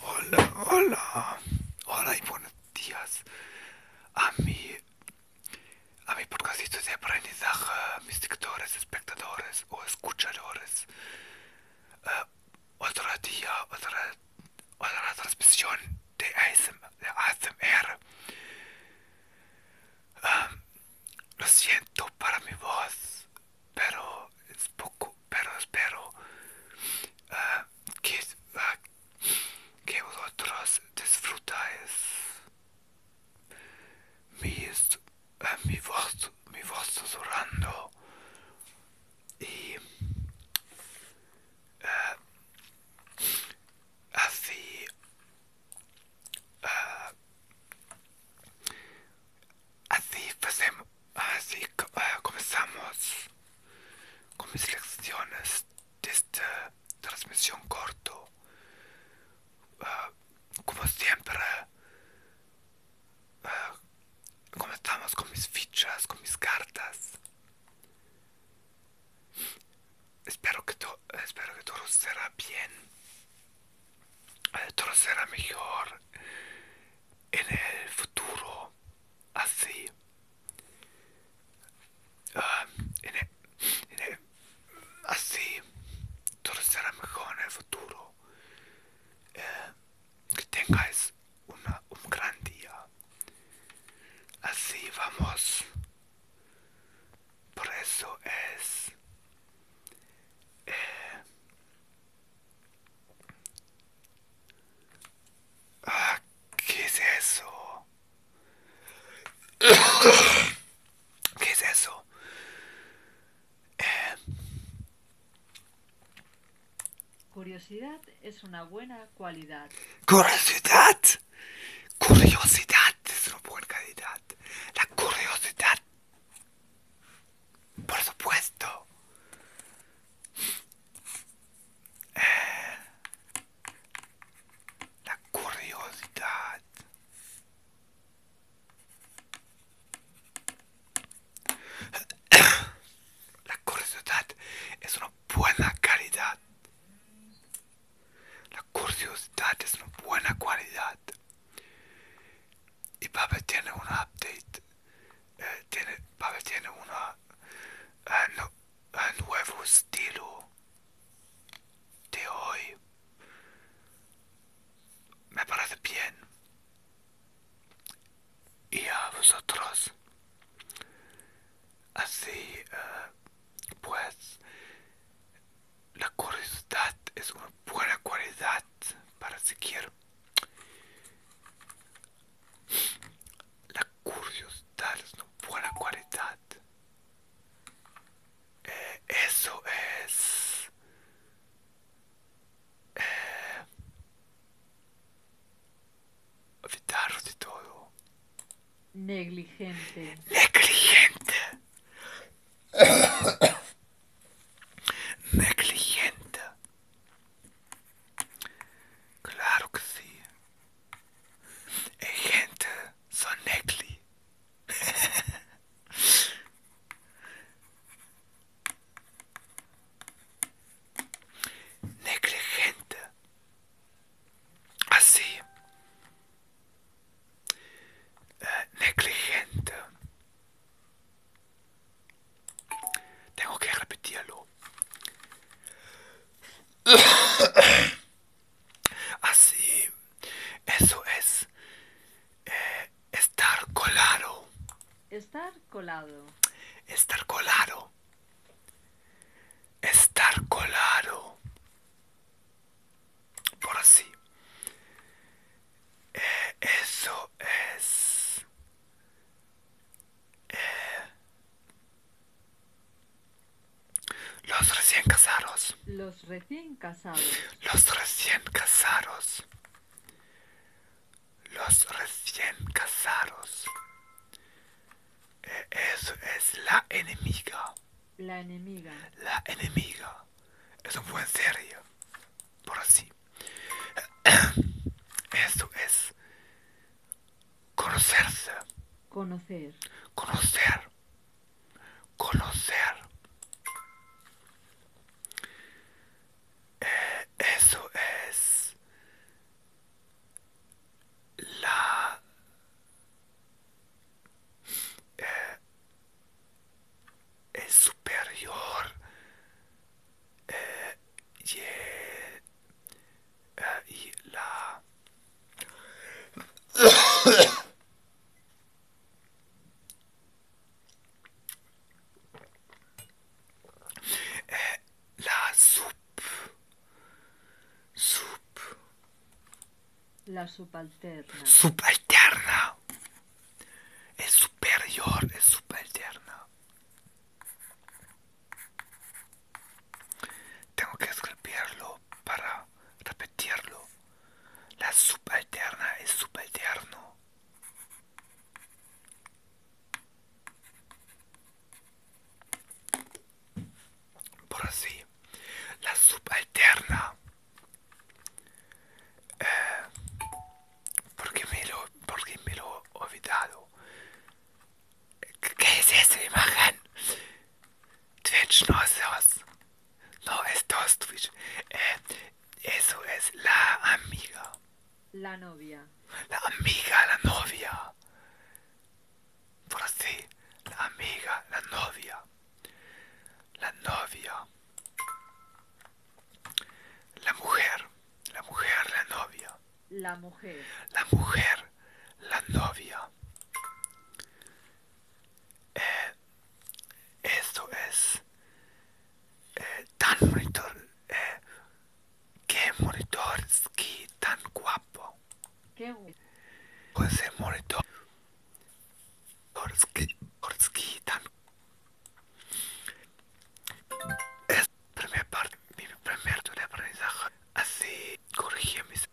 Hola, hola, hola y buenos días a mi, a mi podcastito de aprendizaje, mis lectores, espectadores o escuchadores. Eh, otro día, otra, transmisión de ASMR. Eh, lo siento para mi voz, pero es poco pero espero ah, que, ah, que vosotros disfrutáis mi, ah, mi voz mi voz susurrando y así Así hacemos, pues, así ah, comenzamos con mis lecciones de esta transmisión corto. Ah, como siempre, ah, comenzamos con mis fichas, con mis cartas. Espero que, espero que todo será bien será mejor en el futuro así ah, en así mejor en el futuro eh, que tengáis una, un gran día así vamos por eso es eh, ah, ¿Qué es eso? ¿Qué es eso? Eh, curiosidad es una buena cualidad. ¿Curiosidad? Curiosidad es una buena calidad. La curiosidad por supuesto. Eh, la curiosidad. La curiosidad es una buena calidad la curiosidad es una buena cualidad. Y Pablo tiene un update. Eh, tiene, una tiene eh, eh, un nuevo estilo de hoy. Me parece bien. Y a vosotros. Así, pues, la curiosidad es una buena cualidad para siquiera La curiosidad es una buena cualidad. Eh, eso es... Eh, evitarlo de todo. Negligente. Negligente. Negligente. Claro que sí. Es gente son negli. negligente así, eh, negligente. Tengo que repetirlo. Así, eso es eh, estar colado. Estar colado. Estar colado estar colado por así eh, eso es eh, los recién casados los recién casados los recién casados los recién casados eso es la enemiga. La enemiga. La enemiga. Eso fue en serio. Por así. Eso es conocerse. Conocer. Conocer. Conocer. Eh, eso es la eh, el superior eh, eh y, eh, la eh, la sub... Sub... La subalterna. Subalterna. Es superior, es subalterna. Tengo que escribirlo para repetirlo. La subalterna es subalterno. Por así, la subalterna. Eh, porque me lo, porque me lo he olvidado. ¿Qué es esa imagen? Twitch no es No es dos Twitch. Eh, eso es la amiga. La novia. La amiga, la novia. Por así, la amiga, la novia. La novia. La mujer, la mujer, la novia. La mujer. La mujer, la novia. Eh, esto es eh, tan monitor eh, que monitor ski tan guapo ¿Qué? pues el monitor ski, ski tan es primera parte mi primer de aprendizaje así corregí mis